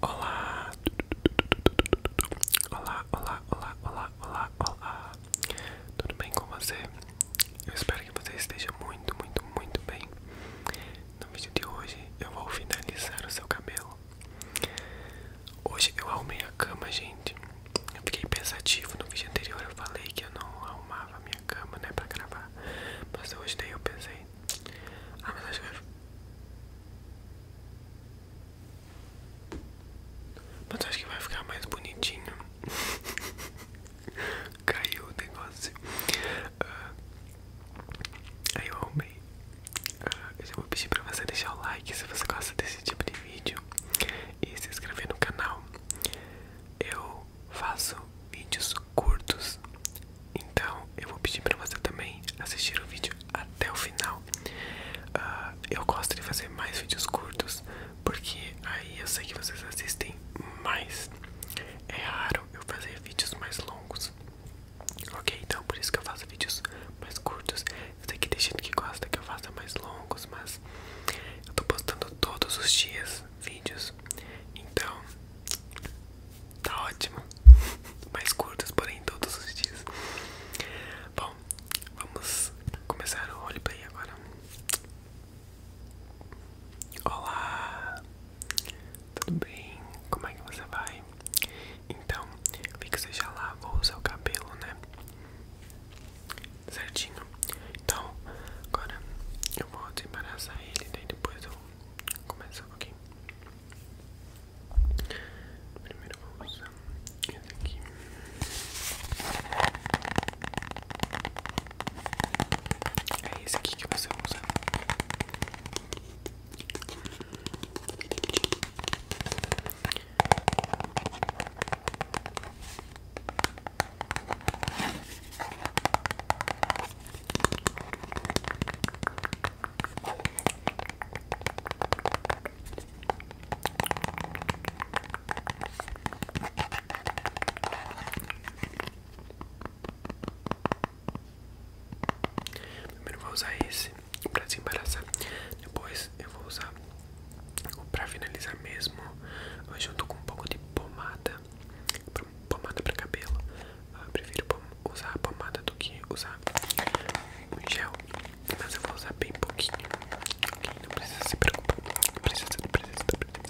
Olá. Olá, olá, olá, olá, olá, olá. Tudo bem com você? Eu espero que você esteja muito, muito, muito bem. No vídeo de hoje eu vou finalizar o seu cabelo. Hoje eu arrumei a cama, gente. Eu fiquei pensativo. No vídeo anterior eu falei que eu não arrumava minha cama, né, pra gravar. Mas hoje daí eu pensei. Ah, mas acho que mas acho que vai ficar mais bonitinho. Caiu o negócio. Ah, aí eu arrumei. Ah, eu já vou pedir pra você deixar o like se você gosta desse tipo de vídeo e se inscrever no canal. Eu faço vídeos curtos. Então eu vou pedir para você também assistir o vídeo até o final. Ah, eu gosto de fazer mais vídeos curtos porque aí eu sei que vocês assistem mais. É raro eu fazer vídeos mais longos. Ok, então por isso que eu faço vídeos mais curtos. Eu aqui que que gosta que eu faça mais longos, mas eu tô postando todos os dias vídeos. Então Tá ótimo. Mais curtas porém, todos os dias. Bom, vamos começar o roleplay agora. Olá, tudo bem? Como é que você vai? Então, vi que você vou lavou o seu cabelo, né? Certinho. Então, agora eu vou desembaraçar ele, daí depois eu começo um pouquinho. Primeiro vou usar esse aqui. É esse aqui que você usa. Primeiro vou usar esse pra desembaraçar. Depois eu vou usar pra finalizar mesmo, junto com um pouco de pomada, pomada para cabelo. Ah, eu prefiro usar pomada do que usar um gel. Mas eu vou usar bem pouquinho. Okay? Não precisa se preocupar. Não precisa, não precisa, não precisa.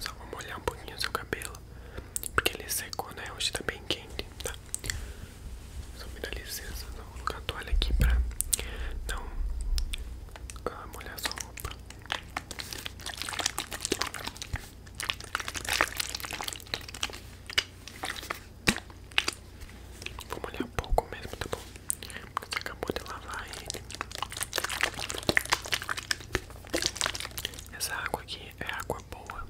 Só vou molhar um pouquinho o seu cabelo, porque ele secou, né? Hoje tá bem quente, tá? Só me dá licença, vou colocar a toalha aqui pra não ah, molhar sua roupa. Vou molhar pouco mesmo, tá bom? Porque acabou de lavar ele. Essa água aqui é água boa.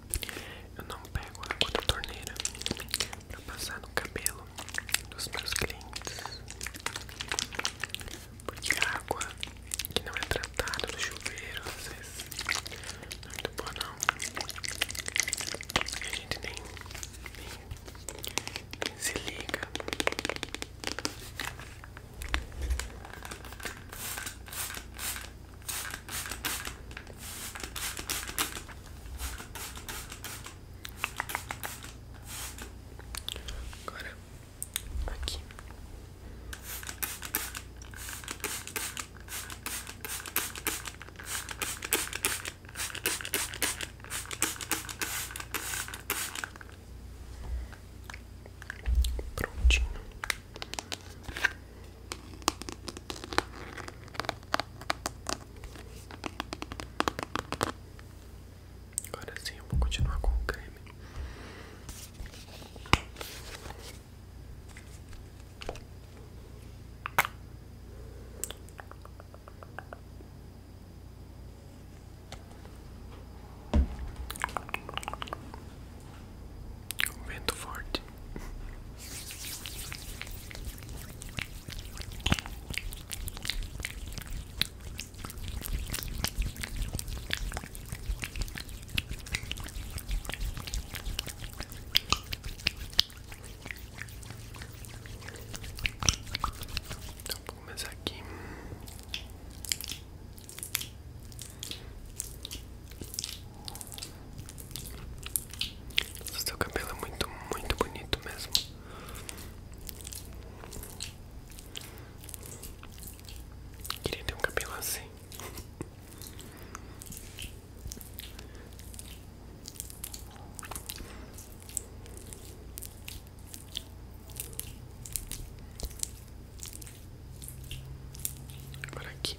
Eu não pego água da torneira para passar no cabelo dos meus clientes. Porque água que não é tratada no chuveiro, às vezes, não é muito boa não. E a gente nem, nem se liga. Agora aqui. Prontinho. Agora sim, eu vou continuar com o creme. Um vento forte. Então começar aqui. seu cabelo é muito, muito bonito mesmo. Queria ter um cabelo assim. Agora aqui.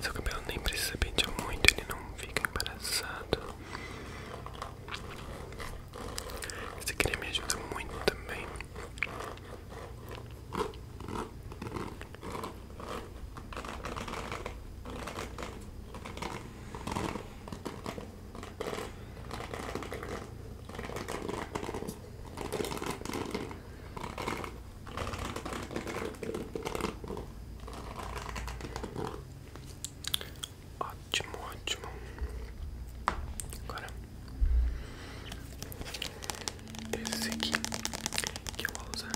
Seu cabelo nem precisa pentear muito, ele não fica embaraçado. Esse creme ajuda muito também. Ótimo, ótimo. Agora, esse aqui que eu vou usar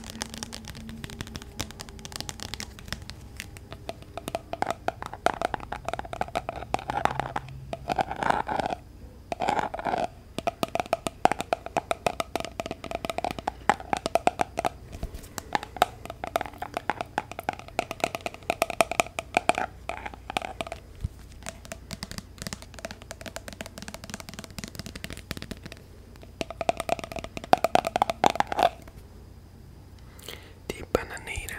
de bananeira.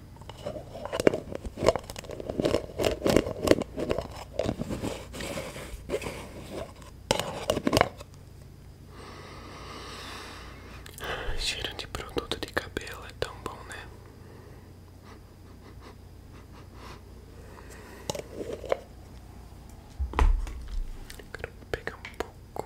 Cheiro de produto de cabelo é tão bom, né? Quero pegar um pouco.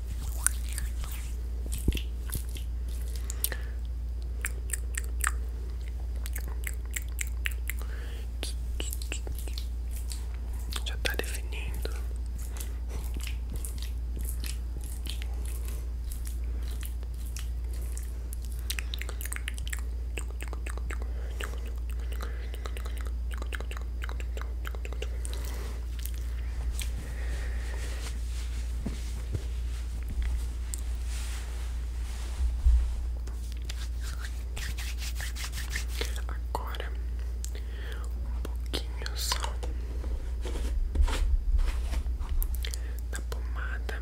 Já está definindo. Agora um pouquinho só da pomada.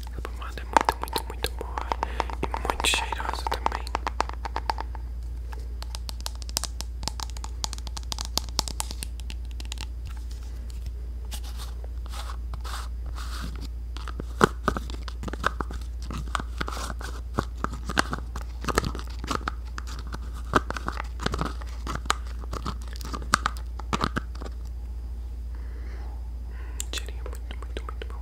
A pomada é muito, muito, muito boa e muito cheirosa também. Um cheirinho muito, muito, muito bom.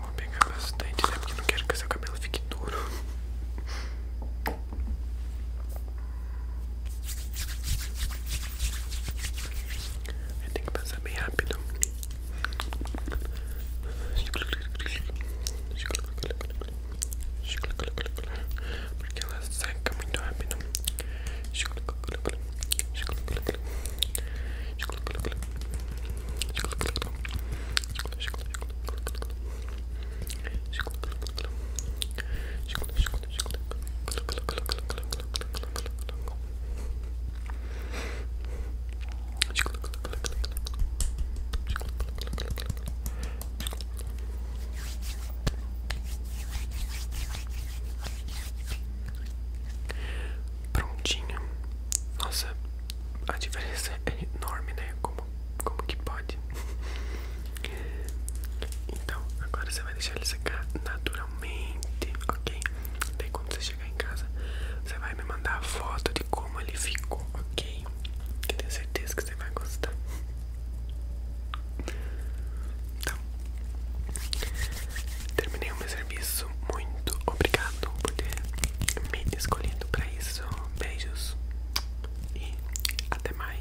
vou pegar bastante, né? Porque não quero que seu cabelo fique duro. Eu tenho que passar bem rápido. Porque ela seca muito rápido. Prontinho, nossa, a diferença é enorme, né? Como, como que pode? Então, agora você vai deixar ele secar naturalmente, ok? Daí quando você chegar em casa, você vai me mandar a foto de como ele ficou, ok? Que tenho certeza que você vai gostar. Então, terminei o meu serviço. Muito obrigado por ter me escolhido para isso. Beijos e até mais.